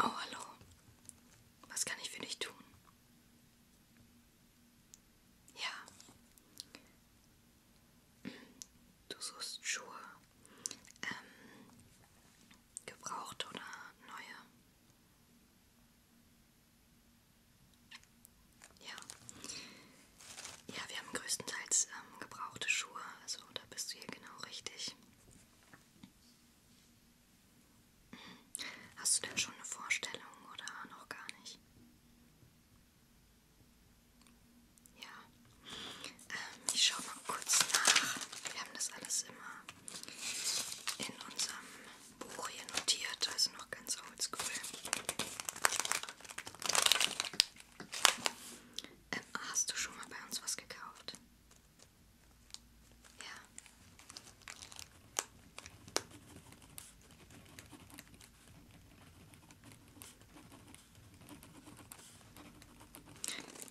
Oh, hallo. Was kann ich für dich tun? Ja. Du suchst Schuhe. Ähm, gebraucht oder neue? Ja. Ja, wir haben größtenteils ähm, gebrauchte Schuhe, also da bist du hier genau richtig. Mhm. Hast du denn schon eine Vorstellung oder noch gar nicht? Ja. Ähm, ich schaue mal kurz nach. Wir haben das alles immer in unserem Buch hier notiert, also noch ganz oldschool. Ähm, hast du schon mal bei uns was gekauft? Ja.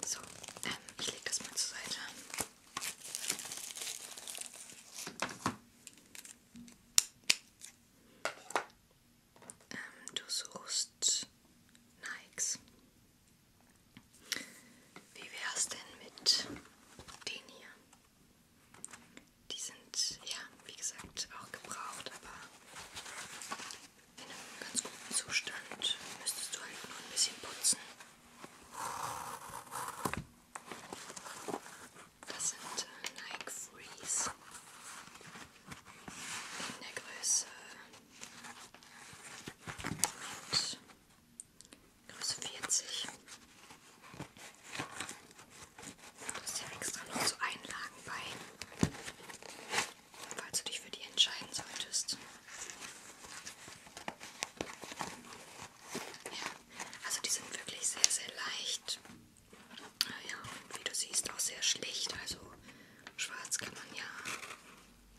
So, ähm, ich lege das mal zur Seite. Ähm, du suchst Nikes. Wie wär's denn mit den hier? Die sind, ja, wie gesagt, auch gebraucht, aber in einem ganz guten Zustand müsstest du halt nur ein bisschen putzen. Das sind äh, Nike Freeze in der Größe mit Größe 40. Das ist ja extra noch so Einlagen bei, falls du dich für die entscheiden solltest. Ja, also die sind wirklich sehr, sehr leicht. Ah ja, und wie du siehst, auch sehr schlicht. Also schwarz kann man ja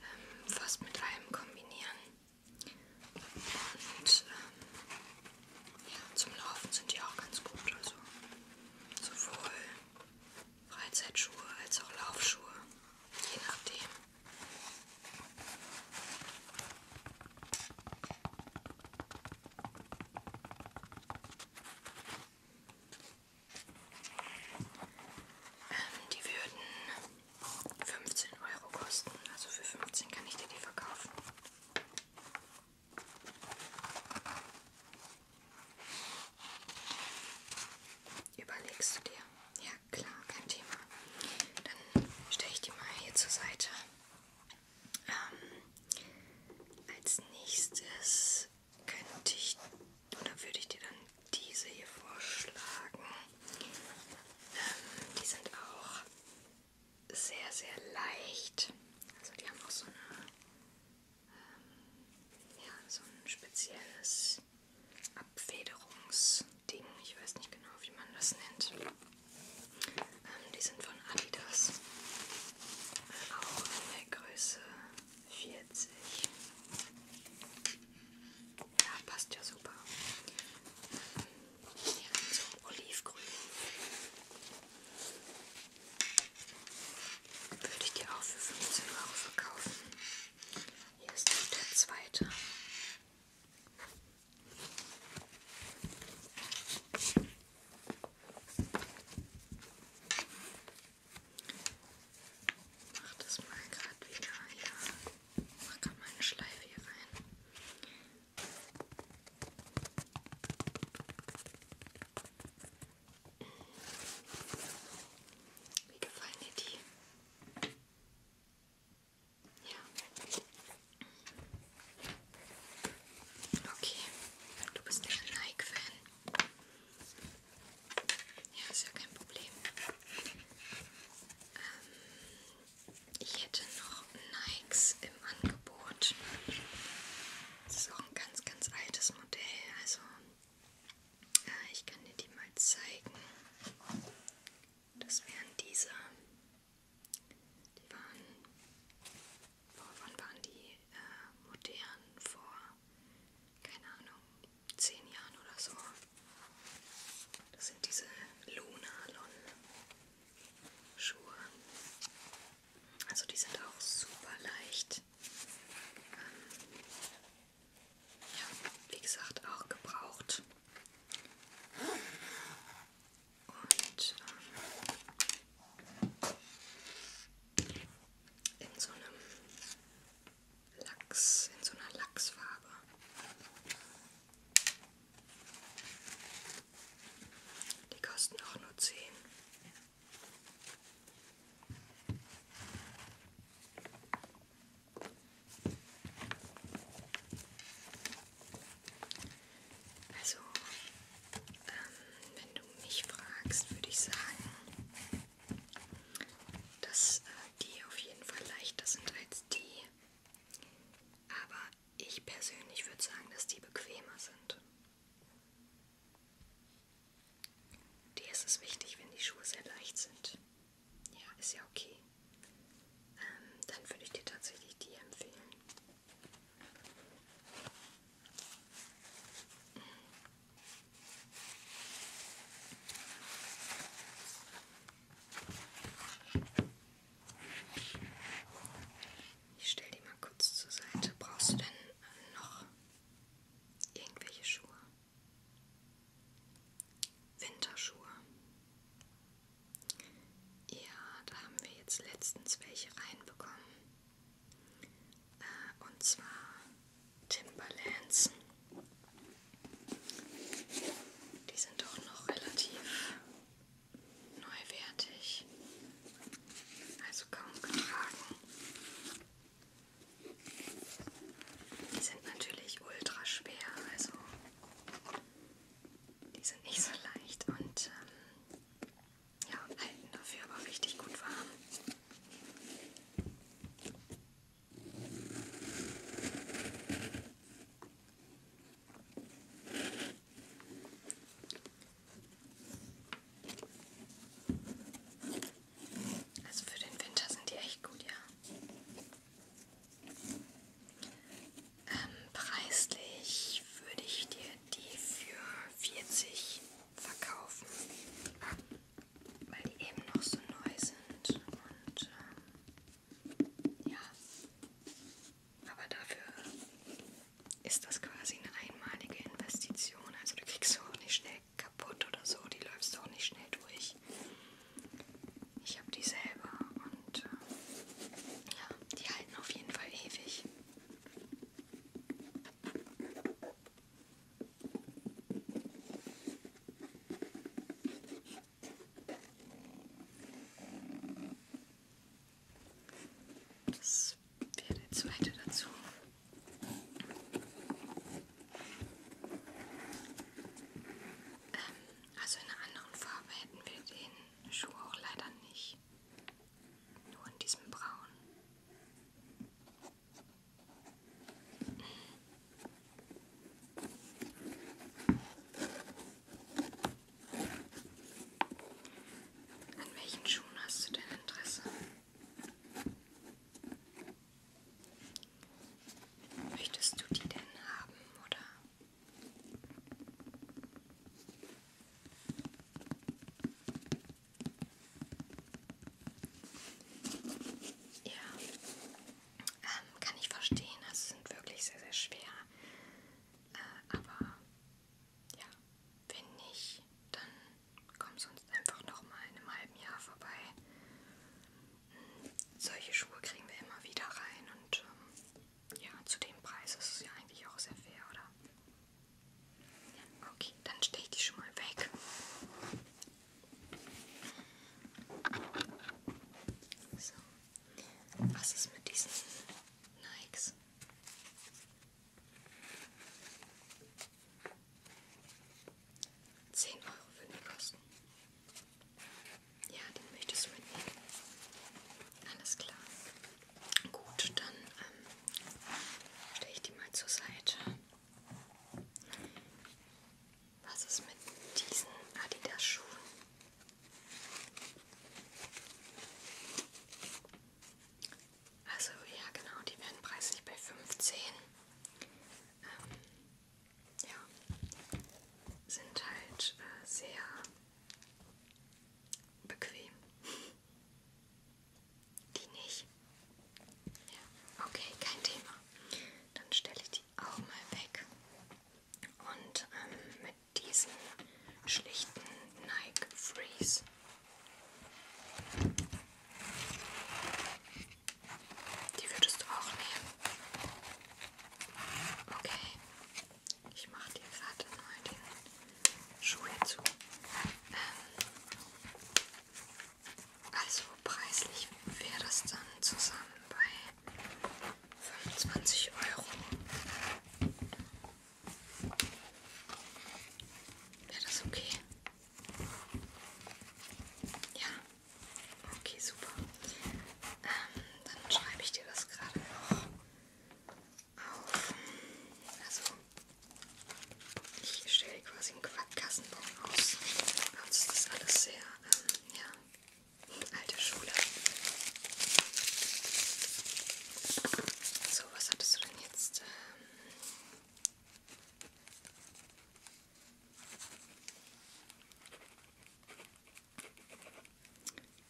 ähm, fast mit allem kombinieren. Und ähm, ja, zum Laufen sind die auch ganz gut. Also sowohl Freizeitschuhe als auch Laufschuhe. Je nachdem. Ähm, die würden 15 Euro kosten. Also für 15 kann ich dir die verkaufen. Überlegst du dir? Ja, klar, kein Thema. Dann stelle ich die mal hier zur Seite. Ähm, als nächstes könnte ich oder würde ich dir dann diese hier vorschlagen. Ähm, die sind auch sehr, sehr leicht. Also die haben auch so eine ähm, ja, so ein spezielles Abfederungs Ding. Ich weiß nicht genau, wie man das nennt. Ähm, die sind von Adidas. Äh, auch in der Größe 40. Ja, passt ja super. Ja, so olivgrün. Würde ich dir auch für 15 Euro verkaufen. Hier ist noch der zweite. Ich mach das mal gerade wieder hier. Ich mach gerade meine Schleife hier rein. Wie gefallen dir die? Ja. Okay, du bist nicht ein Nike-Fan. Ja, ist ja kein Problem. Ähm, ich hätte noch Nikes im Angebot. Das ist auch ein ganz, ganz altes Modell. Also äh, ich kann dir die mal zeigen. Das wären diese. Die waren, boah, wann waren die äh, modern? Vor, keine Ahnung, zehn Jahren oder so. Das sind diese Lunalon-Schuhe. Also die sind auch super leicht. Ähm, ja, wie gesagt, auch gebraucht. Und ähm, in so einem Lachs, in so einer Lachsfarbe. Die kosten auch nur 10. Also, ähm, wenn du mich fragst, würde ich sagen, dass äh, die auf jeden Fall leichter sind als die. Aber ich persönlich würde sagen, dass die bequemer sind. Dir ist es wichtig, wenn die Schuhe sehr leicht sind. Ja, ist ja okay. Ähm, dann würde ich dir tatsächlich die empfehlen. Ich stelle die mal kurz zur Seite. Brauchst du denn noch irgendwelche Schuhe? Winterschuhe. Ja, da haben wir jetzt letztens welche reinbekommen. Äh, und zwar Timberlands. Die sind doch noch relativ neuwertig, also kaum getragen. Die sind natürlich ultra schwer, also die sind nicht so leicht und ähm, ja, halten dafür aber richtig gut warm. Also für den Winter sind die echt gut, ja. Ähm, preislich würde ich dir die für 40 verkaufen, weil die eben noch so neu sind und ähm, ja. Aber dafür ist das quasi eine einmalige Investition, also du kriegst so auch nicht schnell kaputt oder so, die läufst du auch nicht schnell durch. Ich habe die selber und äh, ja, die halten auf jeden Fall ewig. Das wäre der zweite dazu. Ähm, also in einer anderen Farbe hätten wir den Schuh auch leider nicht. Nur in diesem Braun. An welchen Schuhen hast du denn Interesse? Möchtest du die denn haben, oder? Ja, ähm, kann ich verstehen. Also sind wirklich sehr, sehr schwer. Äh, aber ja, wenn nicht, dann komm sonst einfach nochmal in einem halben Jahr vorbei. Hm, solche Schuhe kriegen wir immer wieder rein und ähm, ja, zu dem Preis ist es ja eigentlich auch sehr fair, oder? Okay, dann stehe ich die schon mal weg. So, was ist mit diesen Nikes? 10 Euro würden die kosten. Ja, den möchtest du mitnehmen. Alles klar. Gut, dann ähm, stelle ich die mal zur Seite. Was ist mit diesen Adidas-Schuhen? Also ja genau, die werden preislich bei 15. Ähm, ja, sind halt äh, sehr bequem. Die nicht. Ja, okay, kein Thema. Dann stelle ich die auch mal weg. Und ähm, mit diesen schlichten Nike Freeze die würdest du auch nehmen. Okay. Ich mache dir gerade neu den Schuh zu. Ähm, also preislich wäre das dann zusammen bei 25 Euro. Wäre das okay? Ja. Okay, super. Ähm, dann schreibe ich dir das gerade noch auf. Also, ich stelle quasi einen Quackgassenbaum aus. Bei uns ist das alles sehr, ähm, ja, alte Schule. So, was hattest du jetzt.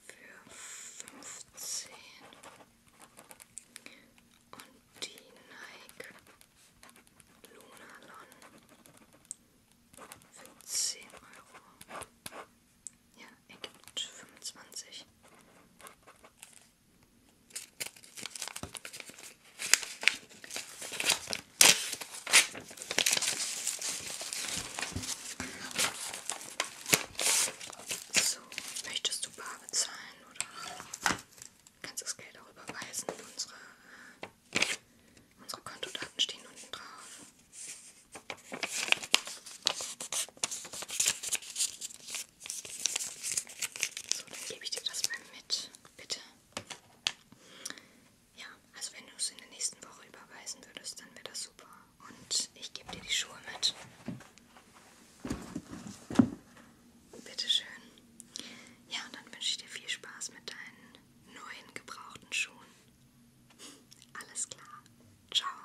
Ähm, für fünfzehn und die Nike Lunalon für zehn Euro. Ja, ergibt 25. So, möchtest du bar bezahlen oder kannst das Geld auch überweisen? Unsere, äh, unsere Kontodaten stehen unten drauf. So, dann gebe ich dir das mal mit, bitte. Ja, also wenn du es in der nächsten Woche überweisen würdest, dann wäre das super. Und ich gebe dir die Schuhe mit. Bitteschön. Ja, und dann wünsche ich dir viel Spaß mit deinen neuen gebrauchten Schuhen. Alles klar. Ciao.